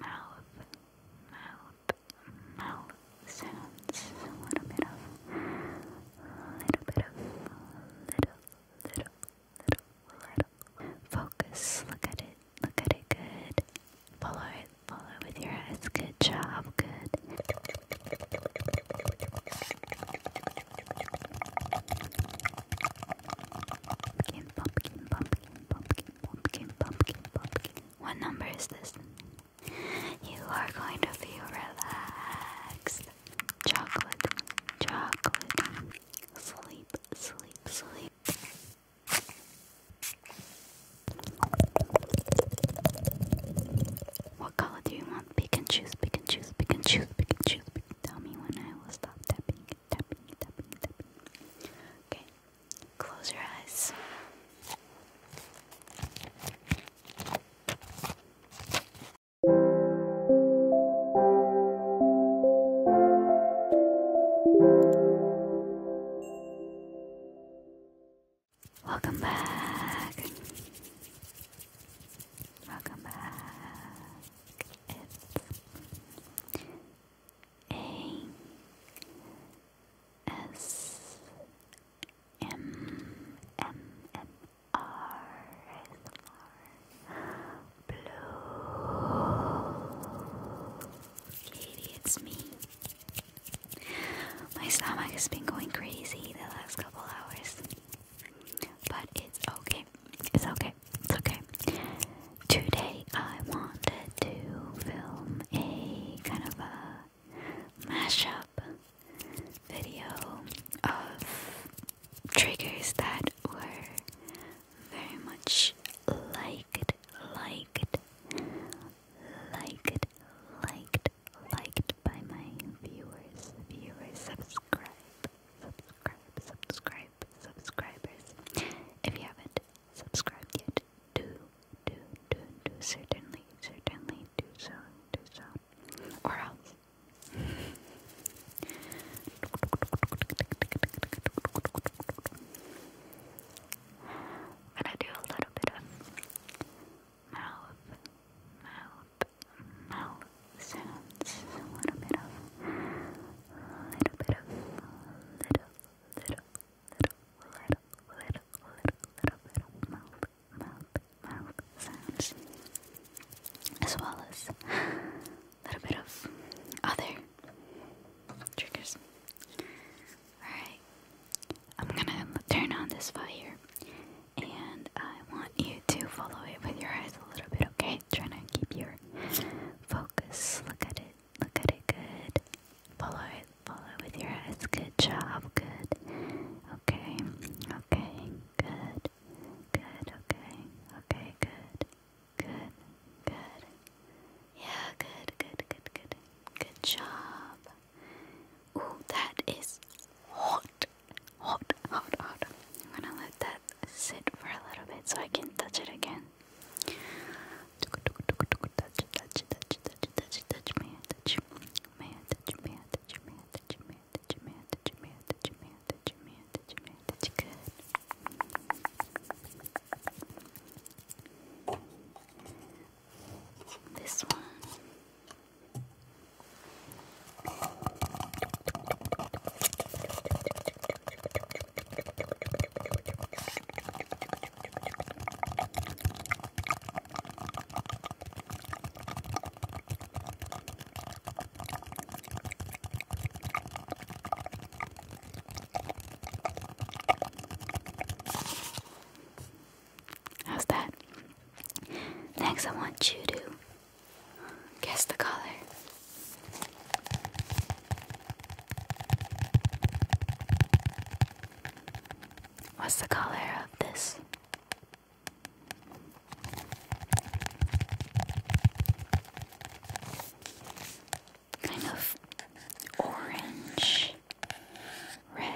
mouth, mouth, mouth sounds. A little bit of, little bit of, little, little, little, little. Focus. Look at it. Look at it. Good. Follow it. Follow it with your eyes. Good job. Good. Pumpkin, pumpkin, pumpkin, pumpkin, pumpkin, pumpkin, pumpkin, What number is this? You are going to feel relaxed. Chocolate, chocolate. Sleep, sleep, sleep. What color do you want? Pick and choose, pick and choose, pick and choose, pick and choose. Tell me when I will stop tapping. Okay, close your eyes. Welcome back. Welcome back. A S M M M R Blue Katie, it's me. My stomach has been going crazy the last couple hours. But it's okay. It's okay okay, it's okay. Today I wanted to film a kind of a mashup video of triggers that were very much liked, liked, liked, liked, liked by my viewers, viewers, subscribe, subscribe, subscribe, subscribers. If you haven't, subscribed yet, do, do, do, do, certainly, certainly, do so, do so, or else. I'm gonna do a little bit of mouth, mouth, mouth sounds, a little bit of little bit of little, little, little, little, little, little, little bit of mouth, mouth, mouth sounds, as well as a little bit of other triggers. Alright, I'm gonna turn on this fire and I want you to follow it with your eyes a little bit, okay? Trying to keep your here. Focus. Look at it. Look at it. Good. Follow it. Follow with your eyes. Good job. Good. Okay. Okay. Good. Good. Okay. Okay. Good. Good. Good. Yeah. Good. Good. Good. Good. Good job. Ooh, that is hot. Hot. Hot. Hot. I'm gonna let that sit for a little bit so I can touch it again. Touch, touch, touch, touch, touch, touch my hair, touch my hair, touch my hair, touch my hair, touch my hair, touch my hair, touch my hair, touch my hair, touch my hair, touch my hair, touch good. This one. How's that? Next, I want you to Guess the color. What's the color of this? Kind of orange, red.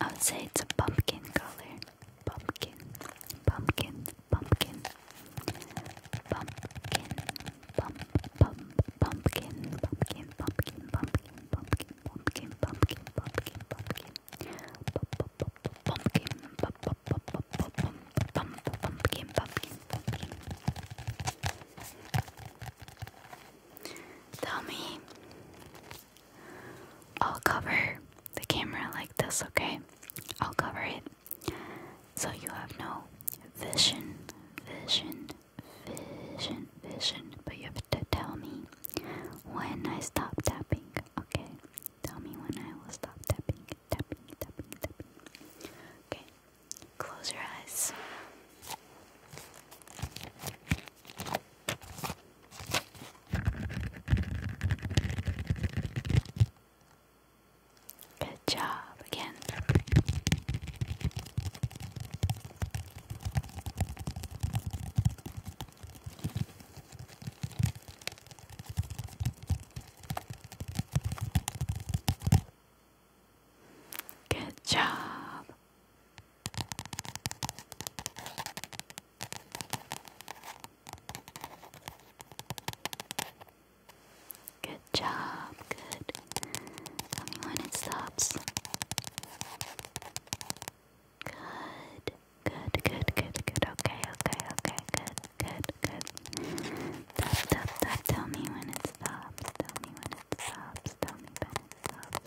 I would say it's a pumpkin color pumpkin, pumpkin, pumpkin, pumpkin, pump, pump, pumpkin, pumpkin, pumpkin, pumpkin, pumpkin, pumpkin, pumpkin, pumpkin, pumpkin, pumpkin, pumpkin, pumpkin, pumpkin, pumpkin. Tell me, I'll cover the camera like this, okay? I'll cover it so you have no vision, vision, vision, vision, but you have to tell me when I stop tapping, okay? Tell me when I will stop tapping, tapping, tapping, tapping. Okay, close your eyes. Good job again. Good job. Good job, good. Tell me when it stops. Good, good, good, good, good. Okay, okay, okay, good, good, good. Stop, stop, stop. Tell me when it stops. Tell me when it stops. Tell me when it stops.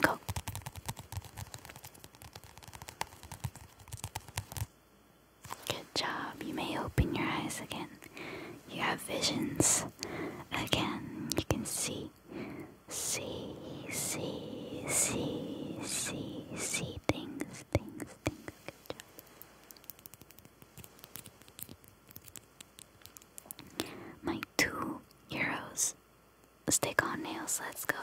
go. Good job. You may open your eyes again. You have visions again. You can see see, see, see, see, see things, things, things. Good job. My two heroes. Stick on nails, let's go.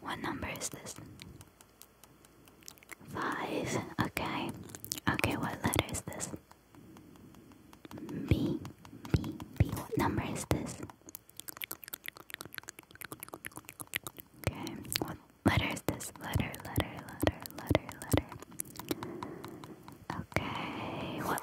What number is this? Five. Okay. Okay, what letter is this? B. B. B. What number is this? Okay. What letter is this? Letter, letter, letter, letter, letter. Okay. What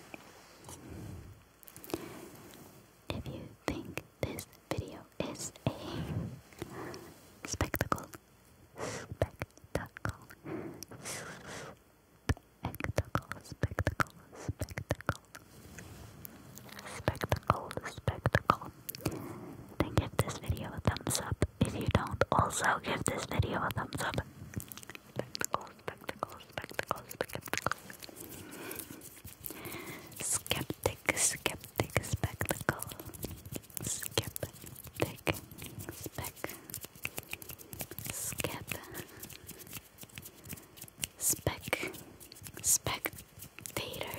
thing. If you think this video is a spectacle, spectacle, spectacle, spectacle, spectacle, spectacle, then give this video a thumbs up. If you don't, also give this video a thumbs up spectacles, spectacles, spectacles, spectacles. Skeptic, skeptic, spectacle. Skeptic, spec. Skep. Spec. Spectator.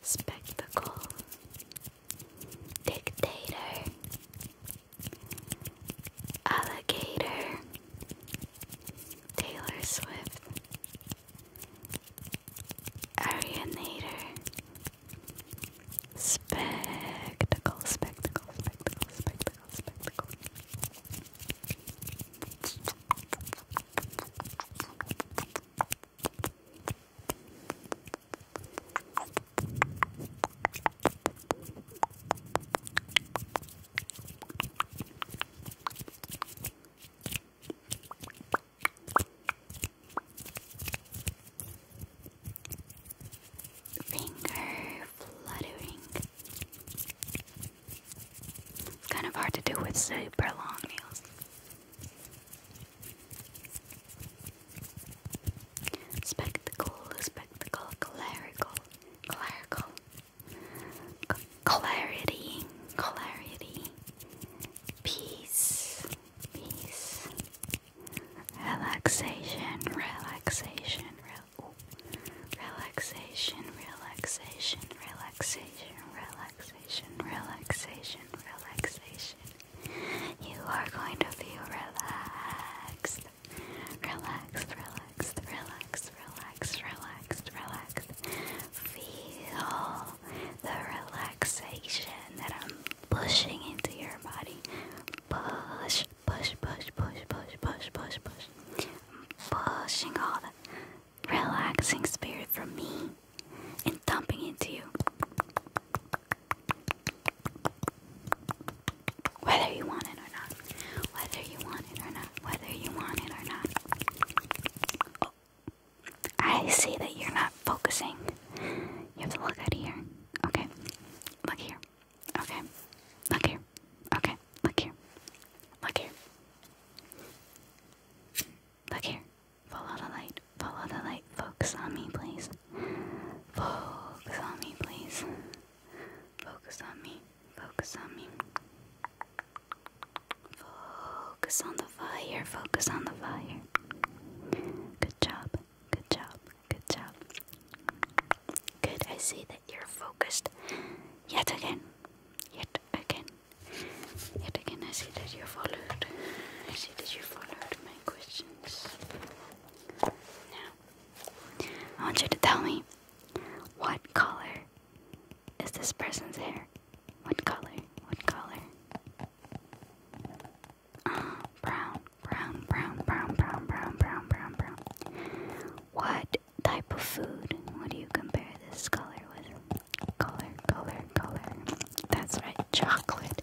Spectacle. Dictator Alligator Taylor Swift Arianator spectacle. Finger fluttering. It's kind of hard to do with super long nails. Spectacle, spectacle, clerical, clerical, clarity, clarity, peace, peace, relaxation, relaxation, relaxation, relaxation, relaxation, relaxation, relaxation, you are going to feel relaxed. Relaxed, relaxed, relaxed, relaxed, relaxed, relaxed. Feel the relaxation that I'm pushing into your body. Push, push, push, push, push, push, push, push. pushing all the relaxing spirit from me and dumping into you. Whether you want it or not. Whether you want it or not. Whether you want it or not. Oh. I see that you're not focusing. You have to look out here. Okay. Look here. Okay. Look here. Okay. Look here. Look here. Look here. Follow the light. Follow the light. Focus on me, please. Focus on me, please. Focus on me. Focus on me. Focus on the fire. Focus on the fire. Good job. Good job. Good job. Good. I see that you're focused. Yet again. Yet again. Yet again. I see that you followed. I see that you followed me questions. Now, I want you to tell me what color is this person's hair? What color? What color? Ah, brown, brown, brown, brown, brown, brown, brown, brown, What type of food? What do you compare this color with? Color, color, color. That's right, chocolate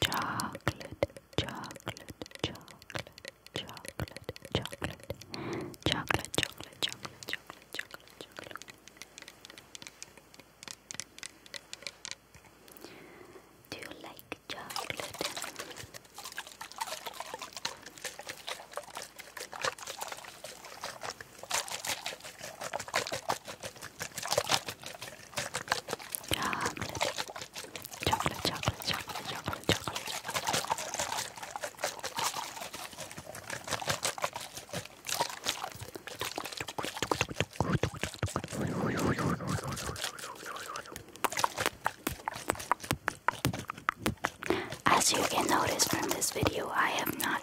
Chocolate, chocolate, chocolate, chocolate, chocolate, chocolate, chocolate, chocolate, chocolate, chocolate, chocolate. Do you like chocolate? As you can notice from this video, I am not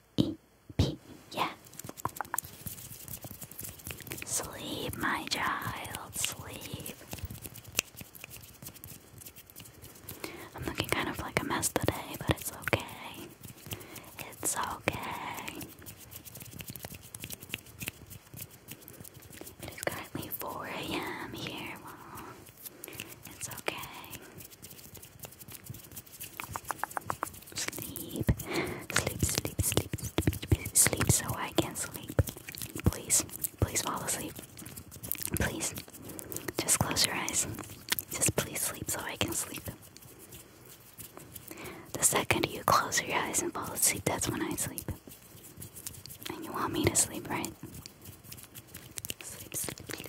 E P yeah. Sleep, my child, sleep. I'm looking kind of like a mess today, but it's okay. It's okay. It is currently 4 a.m. here. Well, it's okay. Sleep. Sleep, sleep, sleep, sleep, sleep so I can sleep. Please, please fall asleep. Please, just close your eyes. Just please sleep so I can sleep. The second you close your eyes and fall asleep, that's when I sleep. And you want me to sleep, right? Sleep, sleep, sleep.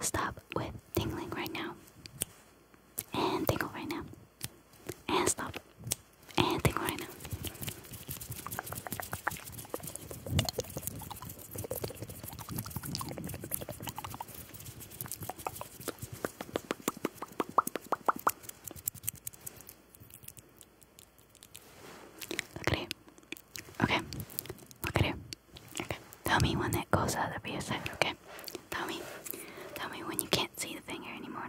Stop with tingling right now. And tingle right now. And stop. And think right now. Look at it. Okay. Look at it. Okay. Tell me when that goes out of your okay? Tell me. Tell me when you can't see the finger anymore.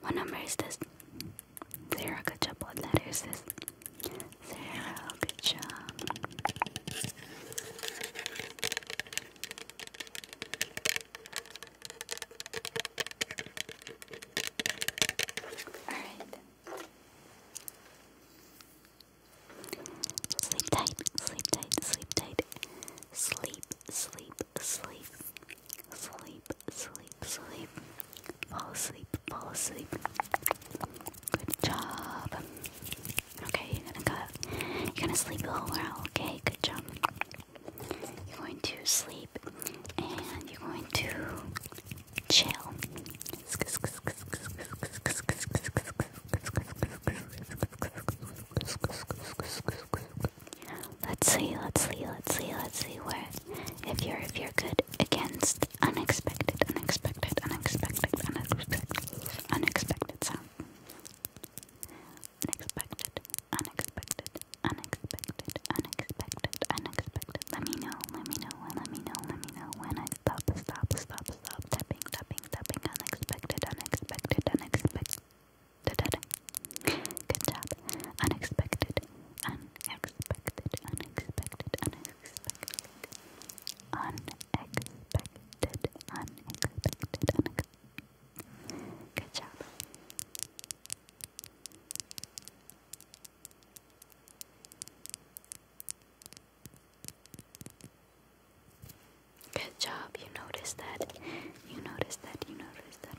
What number is this? Zero, good job. What letter is this? Zero, good job. Alright. Sleep tight, sleep tight, sleep tight. Sleep, sleep, sleep. Sleep, sleep, Sleep. Fall asleep. Fall asleep. Good job. Okay, you're gonna go. You're gonna sleep a little while. Okay, good job. You're going to sleep and you're going to chill. Let's see, let's see, let's see, let's see where if you're if you're good against unexpected, unexpected, unexpected, unexpected, unexpected sound. Unexpected, unexpected, unexpected, unexpected, unexpected. Let me know, let me know, let me know, let me know when I stop, stop, stop, stop, tapping, tapping, tapping, unexpected, unexpected, unexpected. Da -da Good job. Unexpected. Unexpected. Unexpected. Unexpected. Unexpected. Unexpected. Good job. Good job. You noticed that. You noticed that. You noticed that.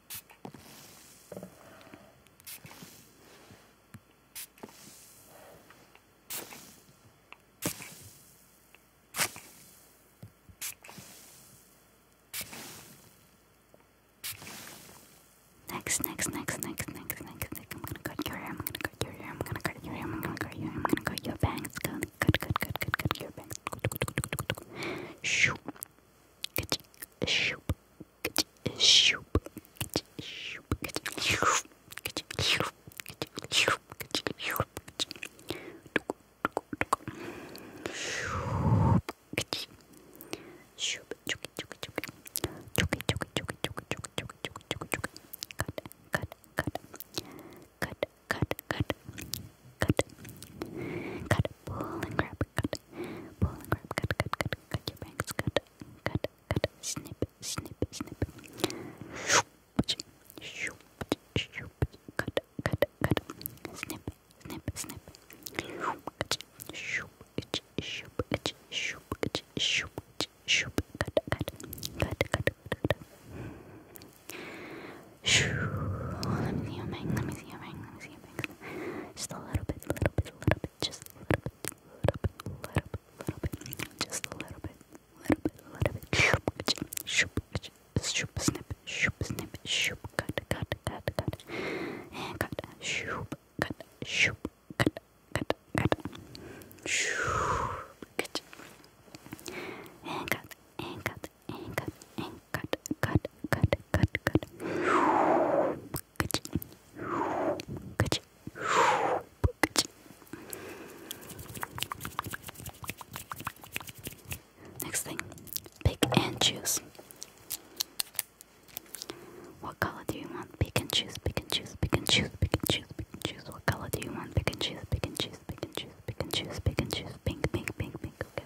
Next, next, next, next, next, next, next. I'm gonna cut your hair. I'm gonna cut your hair. I'm gonna cut your hair. I'm gonna cut your hair. I'm gonna cut your bangs. Cut, cut, cut, cut, cut, cut your bangs. Shoop. Shoop cut, cut, pull and grab, cut, good. Pull and grab, cut, cut, cut, cut your bangs, cut, cut, cut, snip, snip, snip. Shoop, shoop, shoop, cut, cut, cut, snip, snip, snip. Shoop, shoop, shoop, shoop, shoop, shoop, cut, cut, cut, cut, cut. Shoo. Let me see your ring. Let me see your ring. Let me see your ring. Just a little bit, a little bit, bit, little bit, just a little bit, little bit, little bit, little bit, just a little bit, little bit, little bit, shoop, shoop, shoop, snip, shoop, snip, shoop, cut, cut, cut, cut, and cut, shoop, cut, shoop, cut, cut, cut, shoop, cut, and cut, and cut, and cut, and cut, cut, cut, cut, cut. Next thing, pick and choose. What color do you want? Pick and choose, pick and choose, pick and choose, pick and choose, pick and choose. What color do you want? Pick and choose, pick and choose, pick and choose, pick and choose, pick and choose. Pink, pink, pink, pink. Okay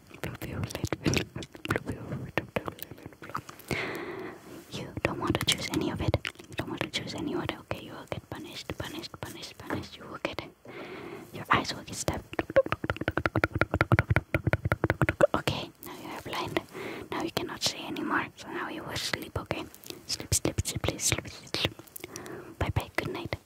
You don't want to choose any of it. You don't want to choose anyone. Okay, you will get punished, punished, punished, punished. You will get your eyes will get stabbed. Okay, now you are blind. Now you cannot see anymore. So now you will sleep. Okay, sleep, sleep, sleep, sleep. sleep. Bye, bye. Good night.